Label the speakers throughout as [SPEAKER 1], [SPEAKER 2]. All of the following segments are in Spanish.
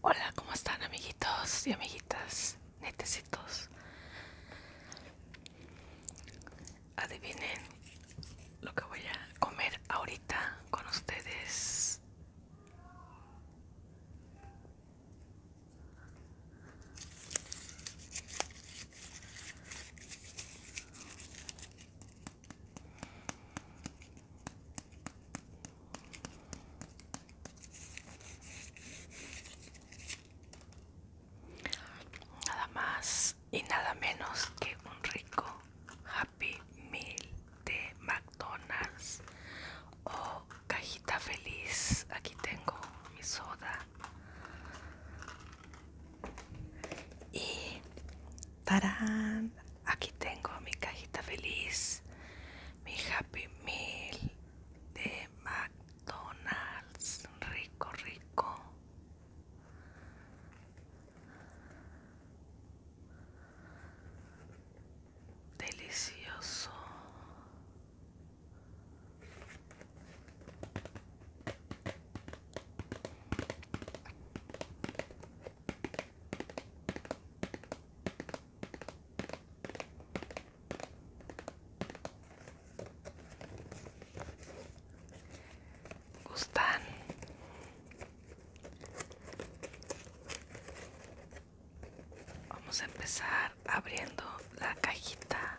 [SPEAKER 1] Hola, ¿cómo están amiguitos y amiguitas? Netecitos. Adivinen lo que voy a comer ahorita con ustedes. Nada más y nada menos que un rico Happy Meal de McDonald's o oh, cajita feliz. Aquí tengo mi soda. Y tarán, aquí tengo mi cajita feliz, mi Happy Meal de McDonald's, rico, rico. Delicioso gustan vamos a empezar abriendo la cajita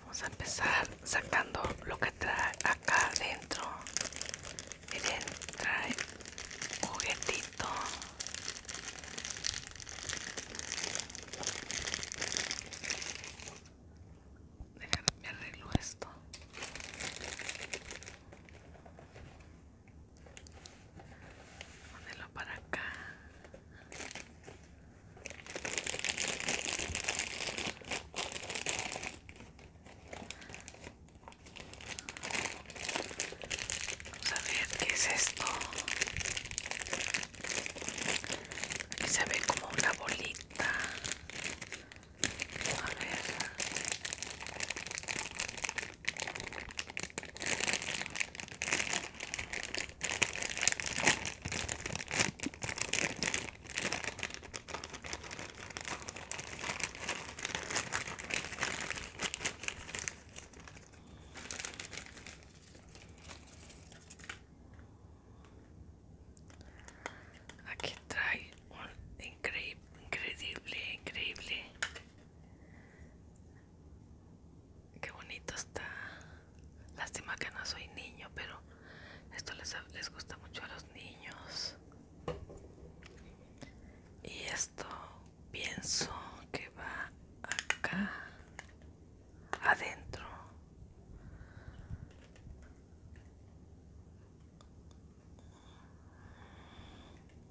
[SPEAKER 1] Vamos a empezar sacando lo que trae acá adentro. Miren, trae juguetito. Déjame arreglar esto. Ponelo para acá. Vamos a ver qué es esto. Aquí se ve como una bolita. Aquí trae un increíble, increíble, increíble Qué bonito está. Lástima que no soy niño, pero esto les, les gusta mucho a los niños. Y esto pienso que va acá adentro.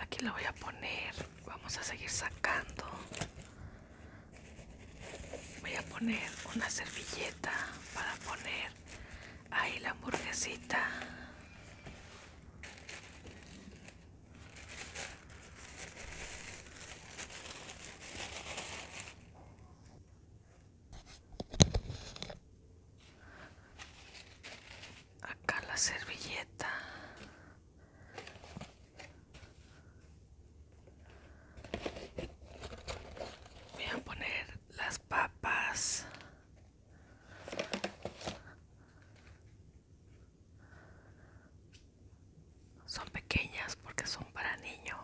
[SPEAKER 1] Aquí la voy a poner. Vamos a seguir sacando. Voy a poner una servilleta para poner ahí la hamburguesita acá la servilleta voy a poner las papas son pequeñas porque son para niño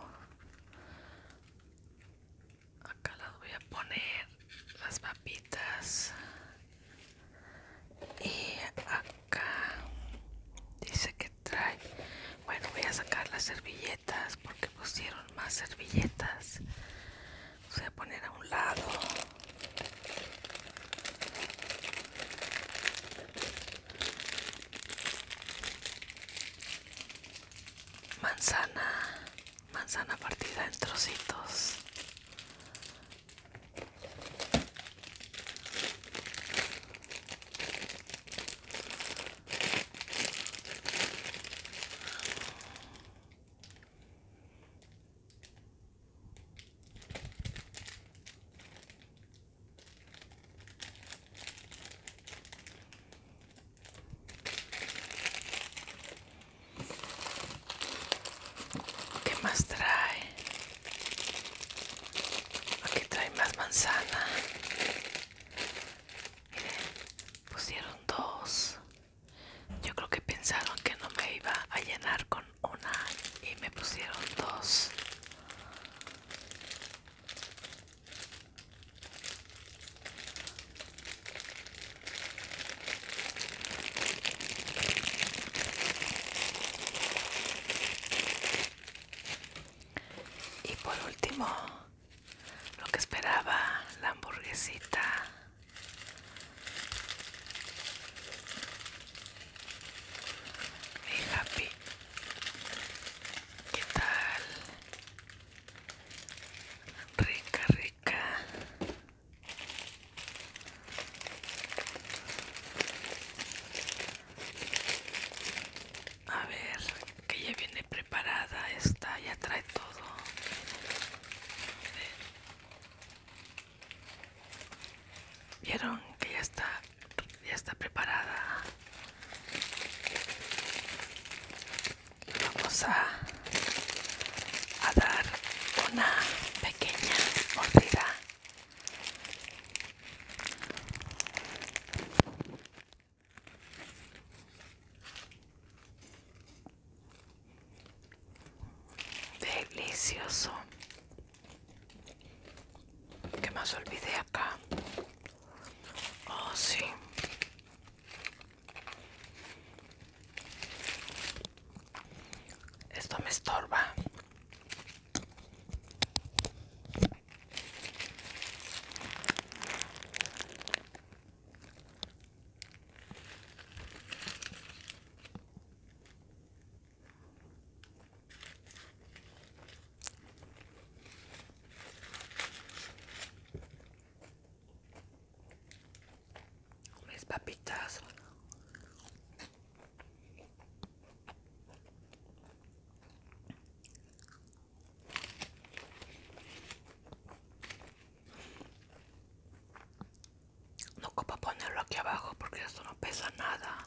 [SPEAKER 1] acá las voy a poner las papitas y acá dice que trae bueno voy a sacar las servilletas porque pusieron más servilletas voy a poner a un lado manzana, manzana partida en trocitos. ¿Qué más trae? Aquí trae más manzana. Miren, pusieron dos. Yo creo que pensaron que no me iba a llenar con una y me pusieron dos. Y por último, lo que esperaba, la hamburguesita. Mi happy. ¿Qué tal? rica rica a ver que ya viene preparada está, ya trae todo vieron que ya está ya está preparada vamos a, a dar una pequeña mordida delicioso que más olvidé acá Oh, sí. Esto me estorba. Mis papitas. No copa ponerlo aquí abajo porque esto no pesa nada.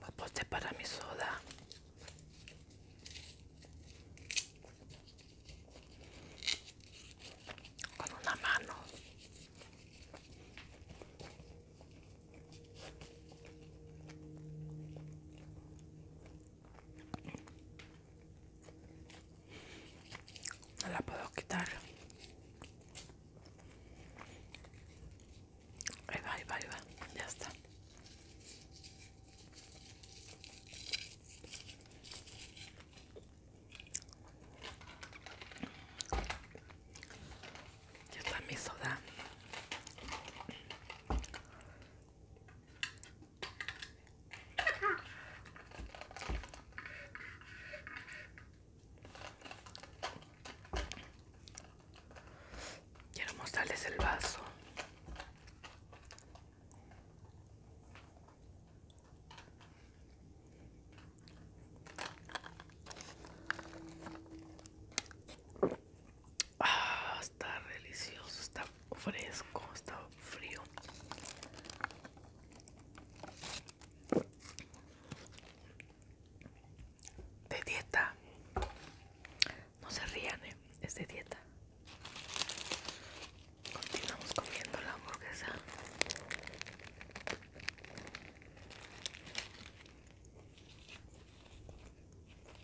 [SPEAKER 1] Me aposté para mi soda. Con una mano. No la puedo quitar. Ahí va, ahí va, Ya está. Ya está mi soda. Quiero mostrarles el vaso. Ah, está delicioso, está fresco, está frío. De dieta. No se rían, ¿eh? es de dieta. Continuamos comiendo la hamburguesa.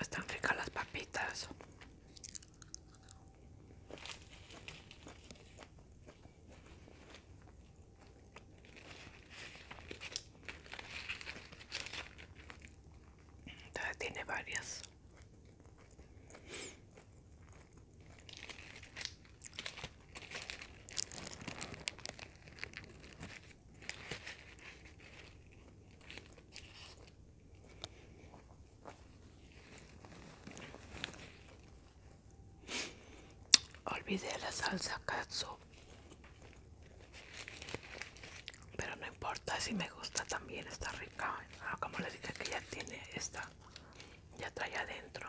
[SPEAKER 1] Están ricas las papitas. Todavía tiene varias. Olvidé la salsa katsu. Pero no importa si me gusta también, está rica. Ah, como les dije que ya tiene esta, ya trae adentro.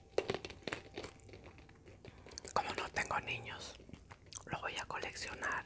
[SPEAKER 1] Como no tengo niños, lo voy a coleccionar.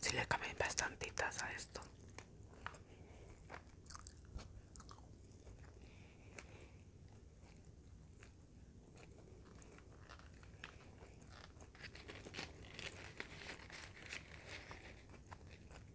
[SPEAKER 1] Si le cambié bastantitas a esto.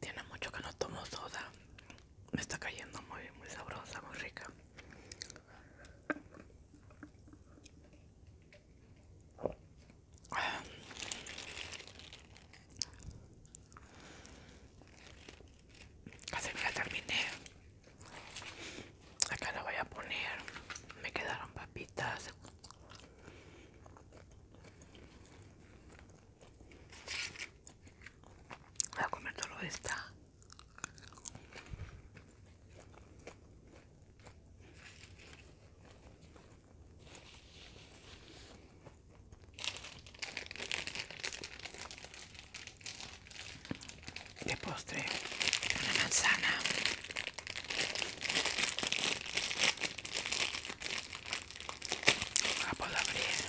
[SPEAKER 1] Tiene mucho que no tomo soda. Me está cayendo muy, muy sabrosa, muy rica. Casi me la terminé. Acá la voy a poner. Me quedaron papitas. Voy a comer todo esta. le postre una manzana una pollavrese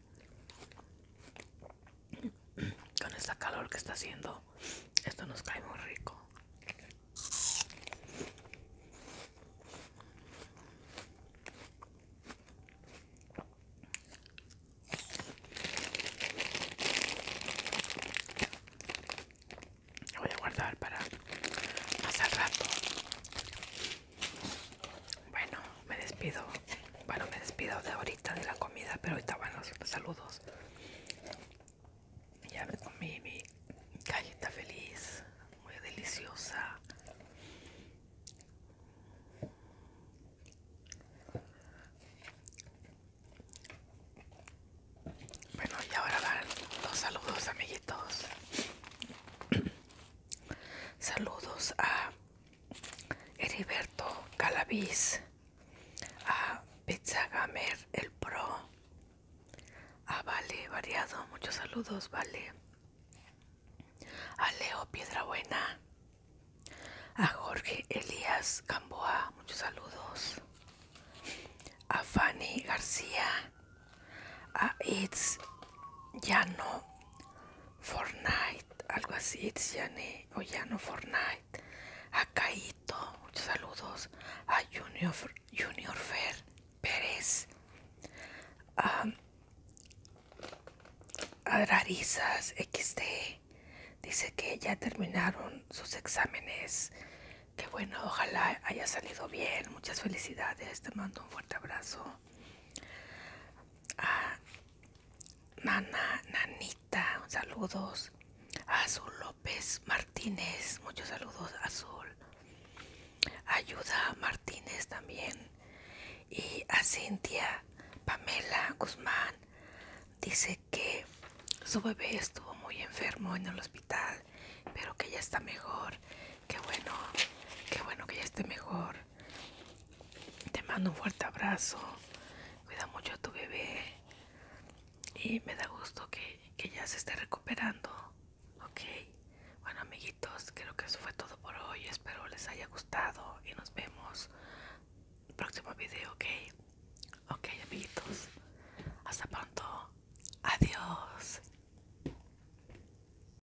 [SPEAKER 1] Con esta calor que está haciendo, esto nos cae muy rico. voy a guardar para más al rato. Bueno, me despido. Bueno, me despido de ahorita de la comida, pero ahorita van los saludos. Ya me comí mi galleta feliz, muy deliciosa. Bueno, y ahora van los saludos, amiguitos. Saludos a Heriberto Calavis a Pizzagamer el Pro, a Vale Variado, muchos saludos, Vale, a Leo Piedrabuena, a Jorge Elías Camboa, muchos saludos, a Fanny García, a Itz Llano Fortnite, algo así, eh, ya no Fortnite, a Caito, muchos saludos, a Junior, Junior Fer Pérez, a, a Rarizas XD, dice que ya terminaron sus exámenes, que bueno, ojalá haya salido bien, muchas felicidades, te mando un fuerte abrazo a Nana, Nanita, saludos. A Azul López Martínez, muchos saludos, Azul. Ayuda Martínez también. Y a Cintia Pamela Guzmán dice que su bebé estuvo muy enfermo en el hospital, pero que ya está mejor. Qué bueno, qué bueno que ya esté mejor. Te mando un fuerte abrazo. Cuida mucho a tu bebé. Y me da gusto que, ya se esté recuperando. Ok. Bueno amiguitos, creo que eso fue todo por hoy. Espero les haya gustado y nos vemos en el próximo video, ¿ok? Ok amiguitos. Hasta pronto. Adiós.